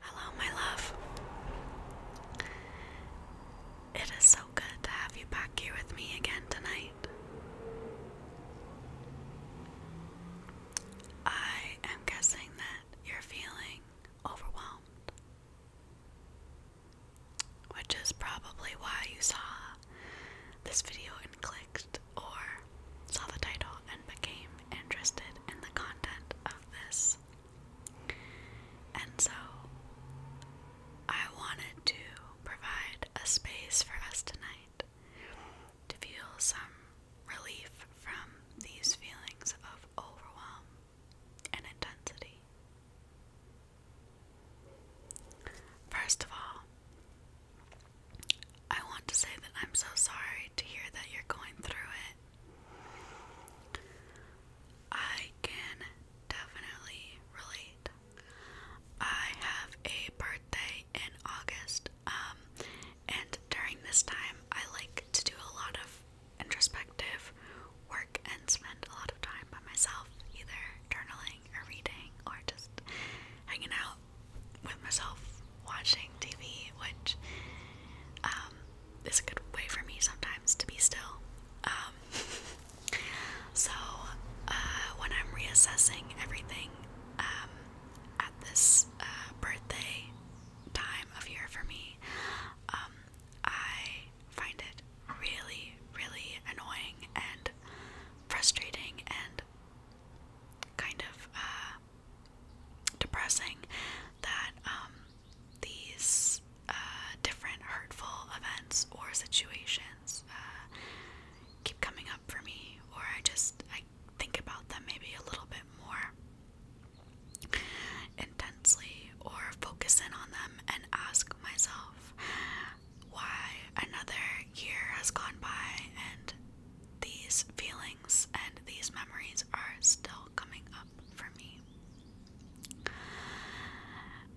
Hello, my love. It is so good to have you back here with me again tonight. I am guessing that you're feeling overwhelmed, which is probably why you saw this video and clicked or saw the title and became interested in the content of this and so I wanted to provide a space for us tonight to feel some relief from these feelings of overwhelm and intensity. First of all, I want to say that I'm so sorry to hear that you're going through it I can definitely relate. I have a birthday in August, um, and during this time, I like to do a lot of introspective work and spend a lot of time by myself, either journaling or reading or just hanging out with myself watching TV, which um, is a good way for me sometimes to be still. Um, so uh, when I'm reassessing everything um, at this uh, birthday time of year for me, um, I find it really, really annoying and frustrating and kind of uh, depressing that um, these uh, different hurtful events or situations uh, keep coming up for me, or I just I think about them maybe a little bit more intensely, or focus in on them and ask myself why another year has gone by and these feelings and these memories are still coming up for me.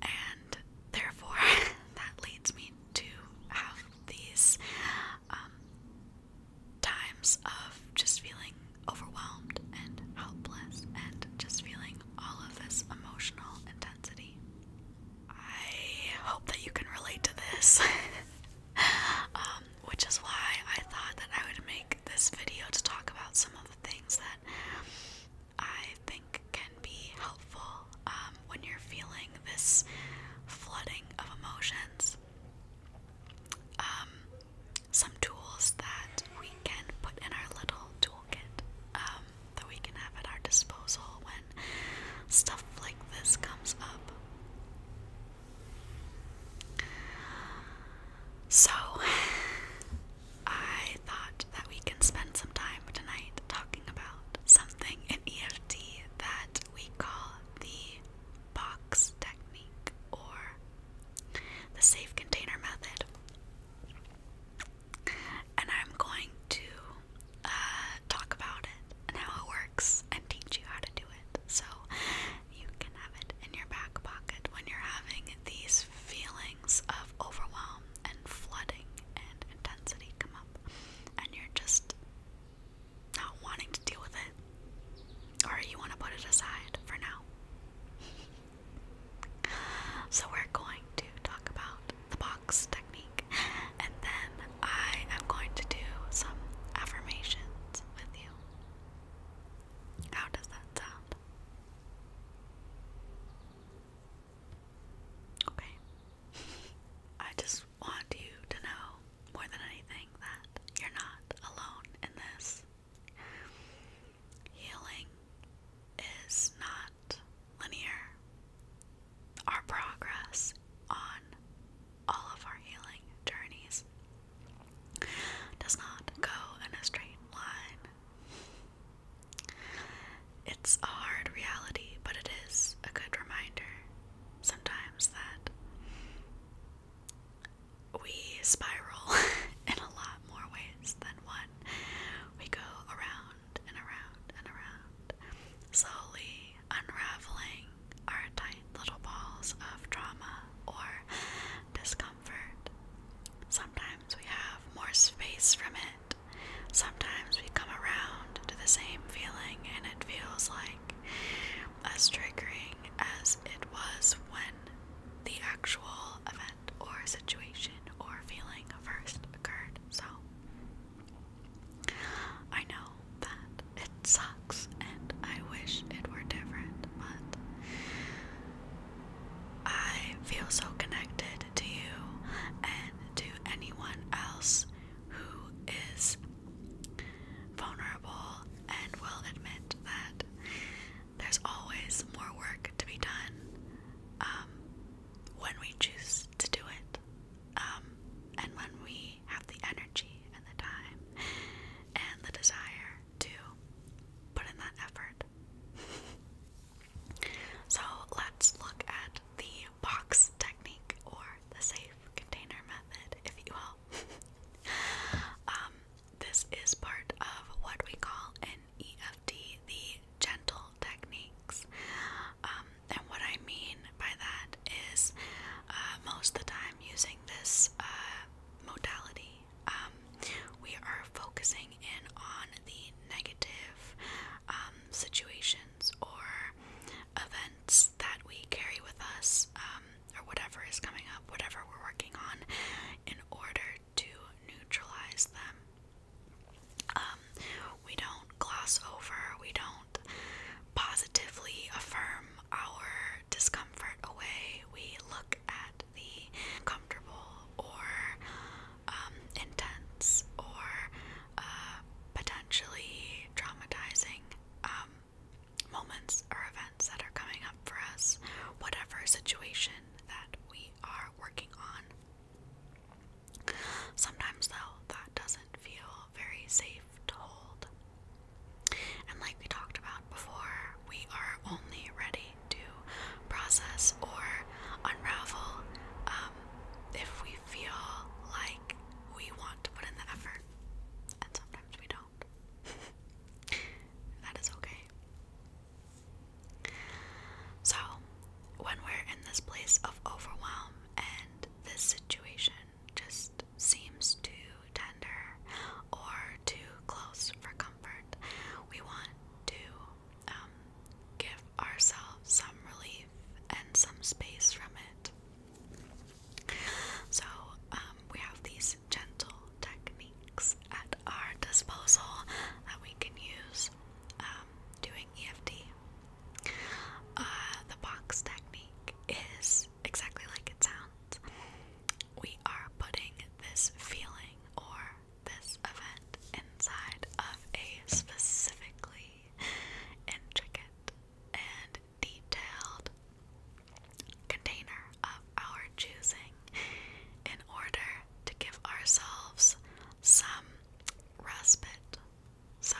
And therefore, that leads me to have these um, times of just feeling overwhelmed and helpless and just feeling all of this emotional intensity. I hope that you can relate to this, um, which is why I thought that I would make this video to talk about some of the things that I think can be helpful um, when you're feeling this flooding of emotions. Um, some tools that we can put in our little toolkit um, that we can have at our disposal when stuff like this comes up. So, I thought that we can spend some time tonight talking about something in EFT that we call the box technique or the safe container method. And I'm going to uh, talk about it and how it works and teach you how to do it. So, you can have it in your back pocket when you're having these feelings of overwhelm and flooding and intensity come up and you're just not wanting to deal with it or you want to put it aside for now. so we're going to talk about the box technique and then I am going to do some affirmations with you. How does that sound? Okay. I just want you to know more than anything that you're not alone in this. Healing is not linear. Our progress on all of our healing journeys does not go in a straight line. It's a hard reality, but it is a good reminder sometimes that we spiral in a lot more ways than one. We go around and around and around, slowly unraveling our tight little balls of drama, or discomfort. Sometimes we have more space from it. Sometimes we come around to the same feeling and it feels like as triggering as it was when the actual event or situation or feeling first occurred. So I know that it it sucks and I wish it were different, but I feel so connected to you and to anyone else who is vulnerable and will admit that there's always more work to be done um, when we choose to do it um, and when we have the energy and the time and the desire to put in that effort. so let's look at the box technique or the safe container method, if you will. um, this is part of what we call an EFT, the gentle techniques. Um, and what I mean by that is uh, most of the time using this uh, modality um, we are focusing in on the negative um, situations or events that we carry with us, um, or whatever is coming up, whatever we're working on, in order to neutralize them. we don't gloss over, we don't positively affirm our discomfort away. We look at the comfortable or um, intense or uh, potentially traumatizing um, moments or events that are coming up for us, whatever situation that we are working on. Sometimes, though, that doesn't feel very safe to hold. And like we talked about before, we are only ready to process or unravel um, if we feel like we want to put in the effort. And sometimes we don't. that is okay. So, when we're in this place of overwhelm and this situation just seems to tender or too close for comfort. We want to um, give ourselves some relief and some space from it. So, um, we have these gentle techniques at our disposal that we can use um, doing EFT. Uh, the box technique is exactly like it sounds. We are putting this feeling or this event inside of a specifically intricate and detailed container of our choosing in order to give ourselves some respite. So,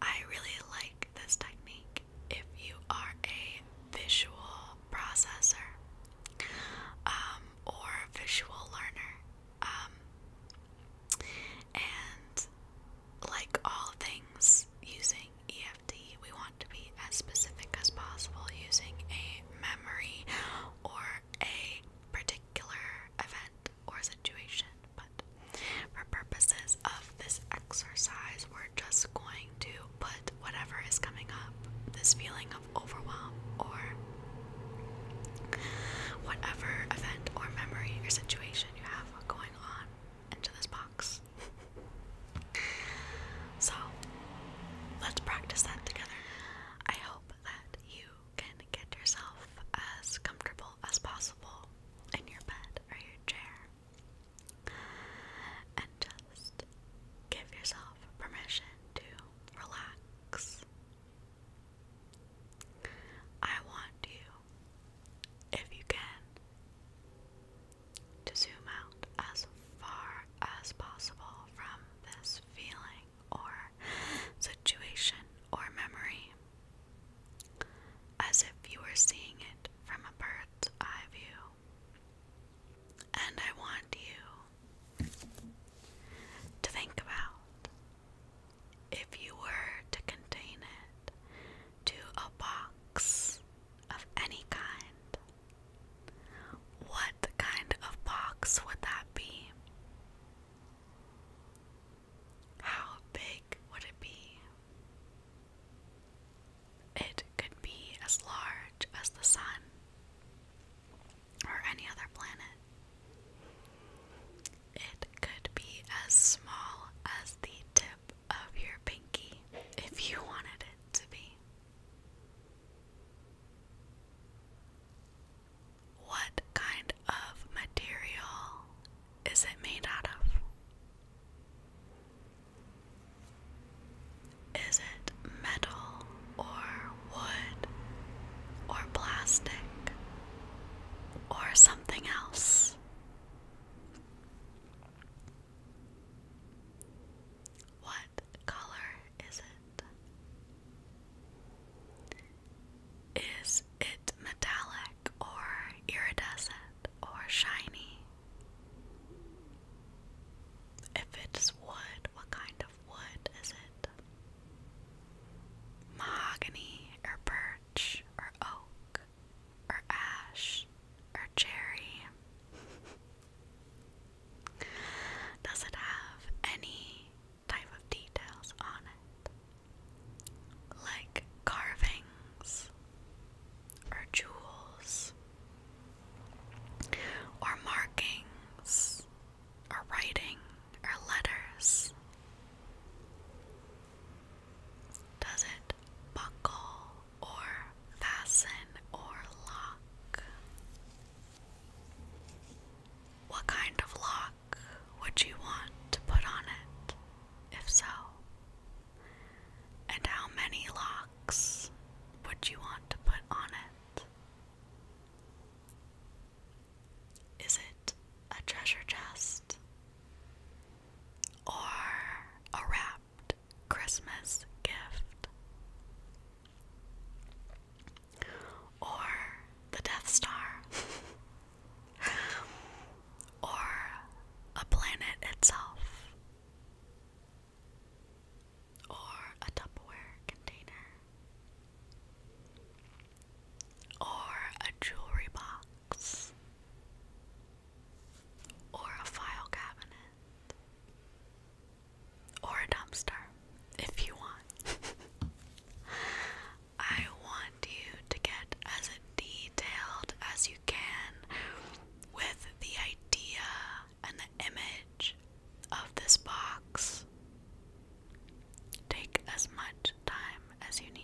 I really like this technique if you are a visual processor um, or visual learner. Um, and like all things using EFT, we want to be as specific as possible using a memory or a particular event or situation. But for purposes of this exercise, we're just going to put whatever is coming up, this feeling of overwhelm or whatever event or memory or situation you have going on into this box. so, let's practice that together. I hope that you can get yourself as comfortable as possible in your bed or your chair and just give yourself permission to relax. I want you, if you can, to zoom out as far as possible from this feeling or situation or memory, as if you were seeing it from a bird's eye view. And I want you to think about if you were to contain it to a box of any kind, what kind of box would that be? How big would it be? It could be as large as the sun or any other planet. It could be as small as the tip of your pinky if you wanted it to be. What kind of material is it made out of? Is it metal or wood or plastic or something else? What color is it? Is it metallic or iridescent or shiny? If it's wood, what kind of wood is it? Mahogany or birch or oak or ash or cherry? Does it have any type of details on it? Like carvings or jewels or markings or writing or letters? Does it buckle or fasten or lock? What kind of lock would you want to put on it, if so? And how many locks would you want to put on it? Is it a treasure chest or a wrapped Christmas gift? Or the Death Star? or a planet itself? or a Tupperware container, or a jewelry box, or a file cabinet, or a dumpster if you want. I want you to get as detailed as you can with the idea and the image of this box. Take as much time as you need.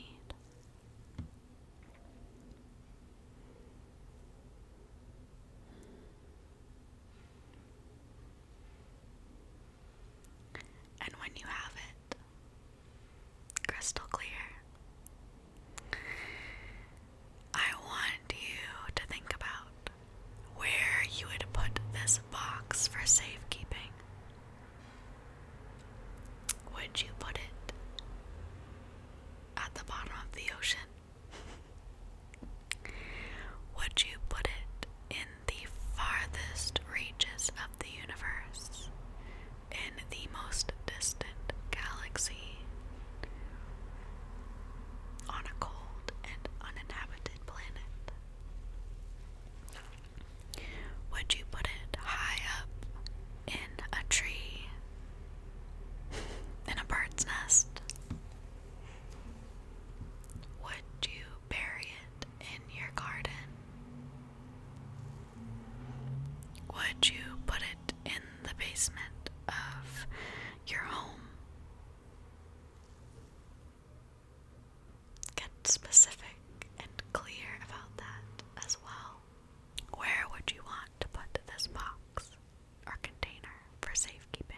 And when you have it crystal clear, I want you to think about where you would put this box for safekeeping. Would you put it at the bottom of the ocean? Would you put it in the farthest reaches of the universe? in the most distant galaxy on a cold and uninhabited planet? Would you put it high up in a tree? In a bird's nest? Would you bury it in your garden? Would you put in the basement of your home. Get specific and clear about that as well. Where would you want to put this box or container for safekeeping?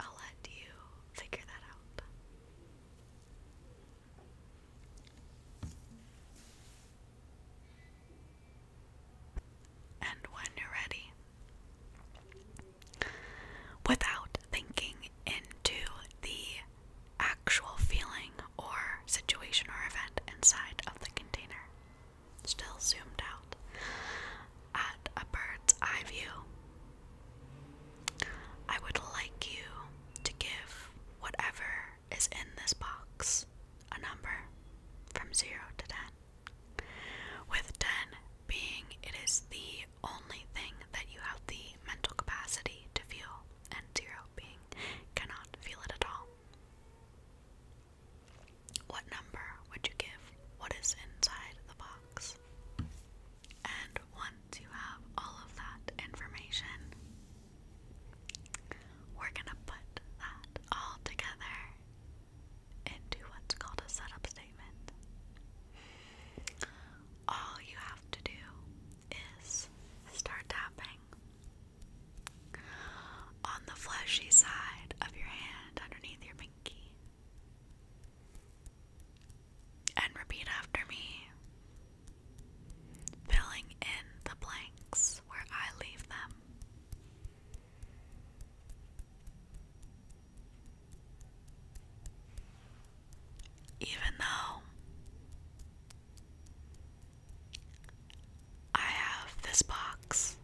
I'll let you figure that out. And when you're ready, without thinking into the actual feeling or situation or event inside of the container, still zoomed out at a bird's eye view, I would like you to give whatever is in this box a number from 0 to 10, with 10 being it is the only thing that you have the mental capacity to feel, and 0 being cannot feel it at all. What number would you give what is inside the box? And once you have all of that information, we're gonna put that all together into what's called a setup statement. All you have to do is start tapping on the fleshy side of your hand underneath your pinky. And repeat after me filling in the blanks where I leave them. Even though I have this box,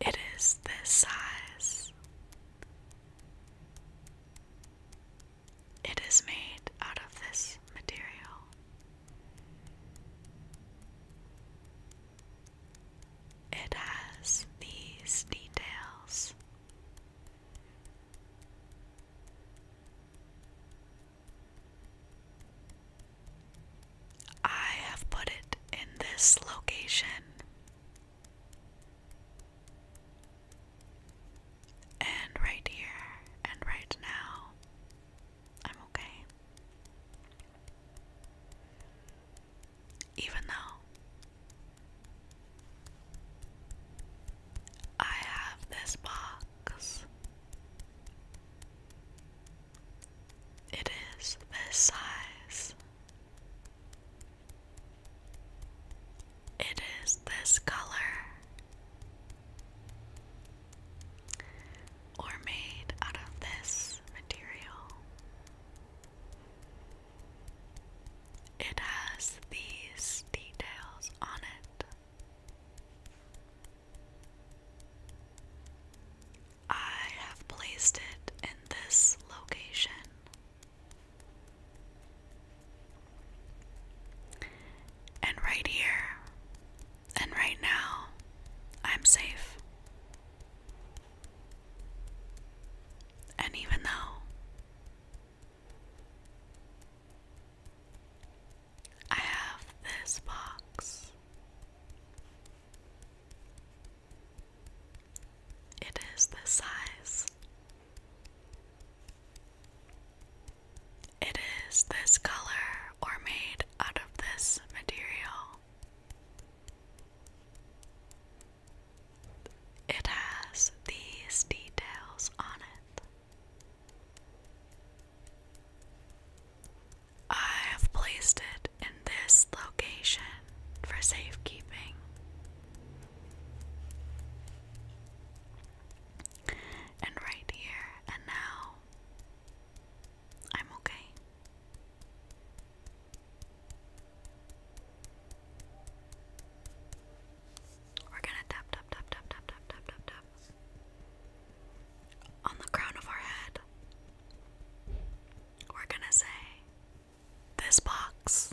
it is this size. It is made out of this material. It has these details. I have put it in this location and right here and right now, I'm okay. Even though I have this box, it is this size. It is this color, or made out of this material. It has these details on it. I have placed it in this location and right here and right now, I'm safe. And even though I have this box, it is this size it is this color or made out of this material. It has these details on it. I have placed it in this location for safekeeping. And right here and now, I'm okay. We're gonna tap, tap, tap, tap, tap, tap, tap, tap, tap on the crown of our head. We're gonna say, This box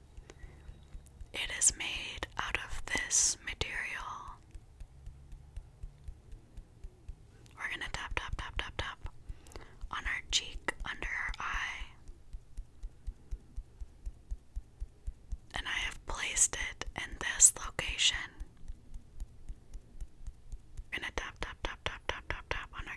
It is made out of this material. We're going to tap, tap, tap, tap, tap on our cheek, under our eye. And I have placed it in this location. We're gonna tap, tap, tap, tap, tap, tap, tap on our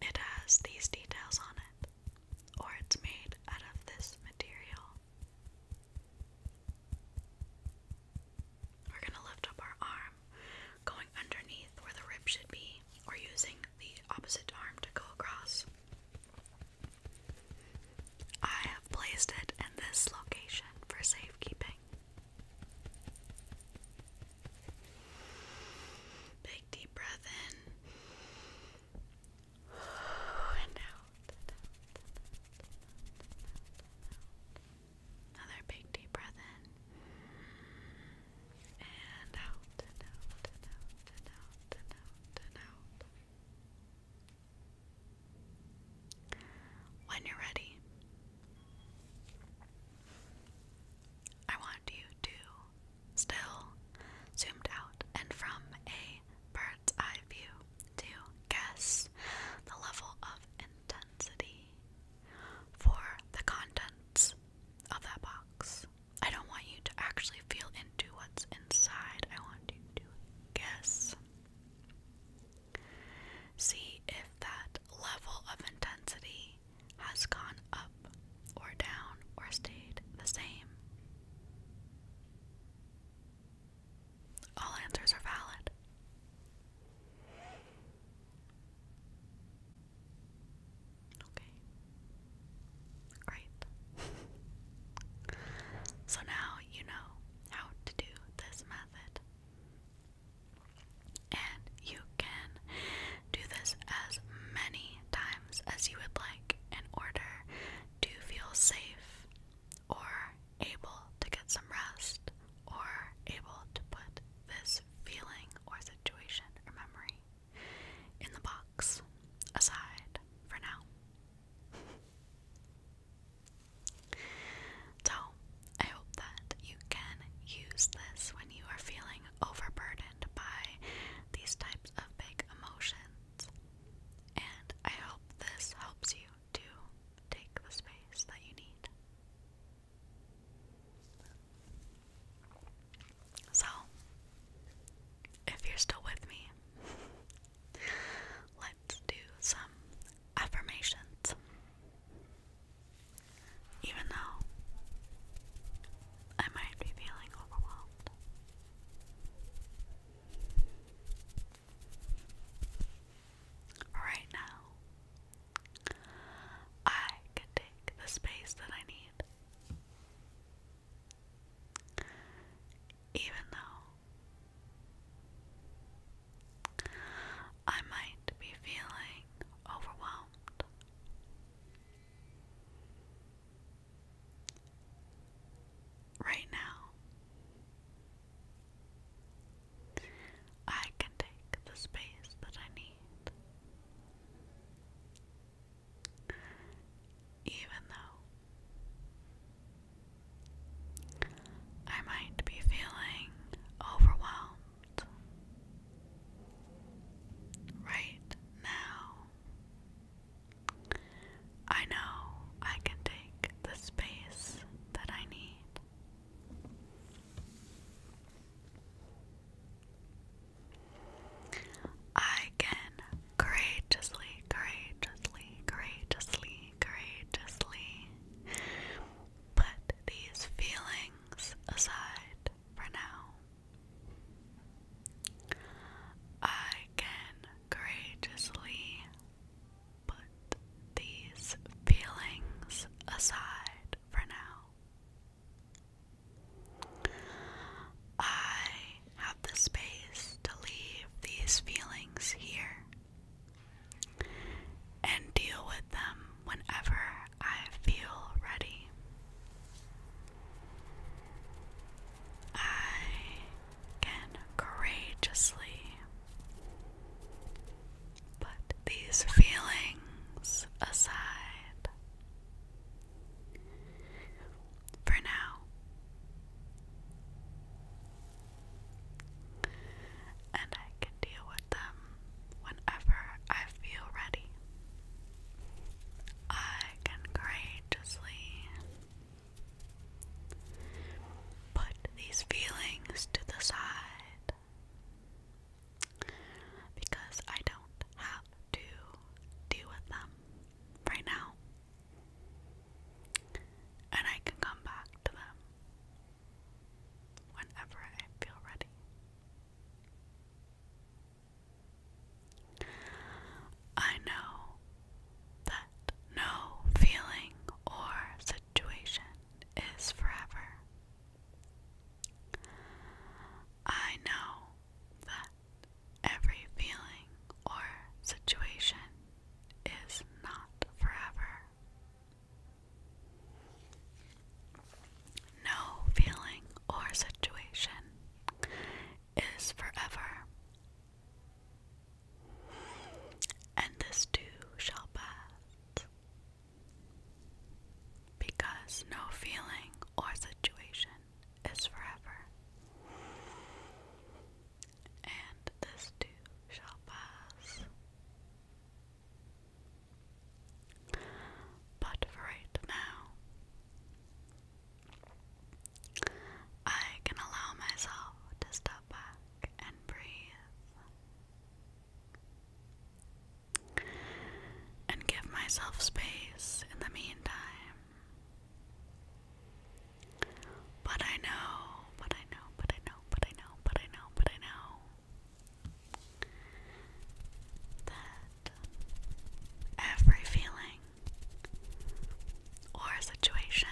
It has these details on it, or it's made out of this material. We're going to lift up our arm, going underneath where the rib should be, or using the opposite arm to go across. I have placed it in this location for safekeeping. Big deep breath in and out. Another big deep breath in and out. When you're ready, I want you to still zoomed out and from a bird's eye view to guess the level of intensity for the contents of that box. I don't want you to actually feel into what's inside, I want you to guess. See if that level of intensity has gone up or down or stayed the same? All answers are valid. Okay. Great. so now you know how to do this method. And you can do this as many times as you would like in order to feel safe or able to get some rest or able to put this feeling or situation or memory in the box aside for now. So, I hope that you can use this when you are feeling overburdened by these types of big emotions. And I hope this helps you to take the space that you need. So, if you're still with me, let's do some affirmations even though I might be feeling overwhelmed. Right now, I can take the space that I need, even though I might be feeling overwhelmed. Right now, I can take the space that I need, even though I might be feeling overwhelmed Right now, I know I can take the space that I need. I can courageously, courageously, courageously, courageously put these feelings aside for now. I can courageously put these feelings aside for now. I have the space to leave these feelings here and deal with them whenever I feel ready. I can courageously put these feelings aside. For now, and I can deal with them whenever I feel ready. I can courageously put these feelings to the side because I don't have to deal with them right now. And I can come back to them whenever I feel ready. I know that no feeling or situation is forever. I know that every feeling or situation is not forever. No feeling or situation is forever, and this too shall pass. Because no feeling or situation is forever, and this too shall pass. But for right now, I can allow myself to step back and breathe and give myself space in the meantime. But I know, but I know, but I know, but I know, but I know, but I know that every feeling or situation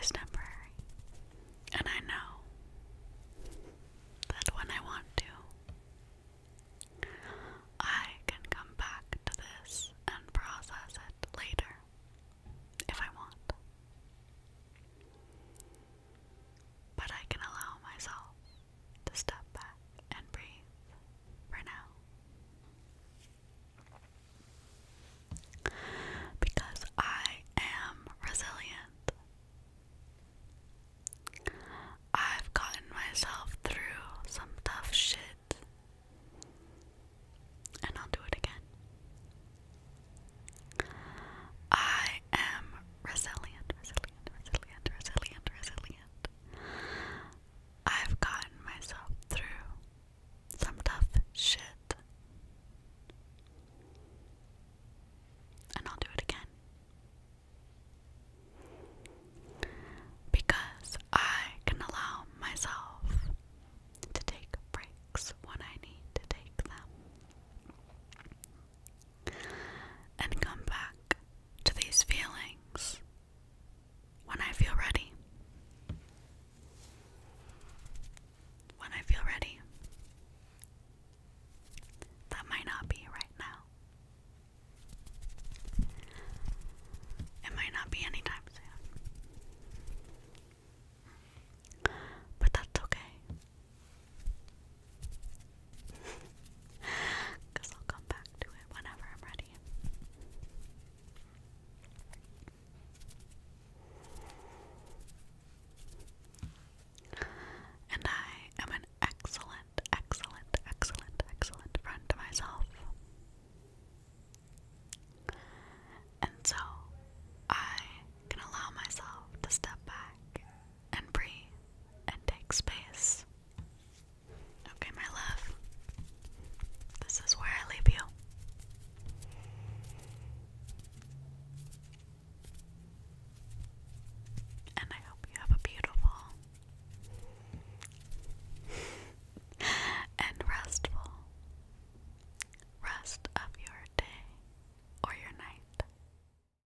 is temporary. And I know that when I want to, I can come back to this and process it later if I want. But I can allow myself to step back and breathe for now. Because I am resilient. I've gotten myself through some tough shit. And I'll do it again. I am resilient, resilient, resilient, resilient, resilient. I've gotten myself through some tough shit. And I'll do it again. Because I can allow myself to take breaks when I need to take them and come back to these feelings when I feel ready. When I feel ready. That might not be right now. It might not be anytime soon. But that's okay. Because I'll come back to it whenever I'm ready. And I am an excellent, excellent, excellent, excellent friend to myself. And so I can allow myself to step back and breathe and take space. Okay, my love, this is where I leave you. And I hope you have a beautiful and restful rest of your day or your night.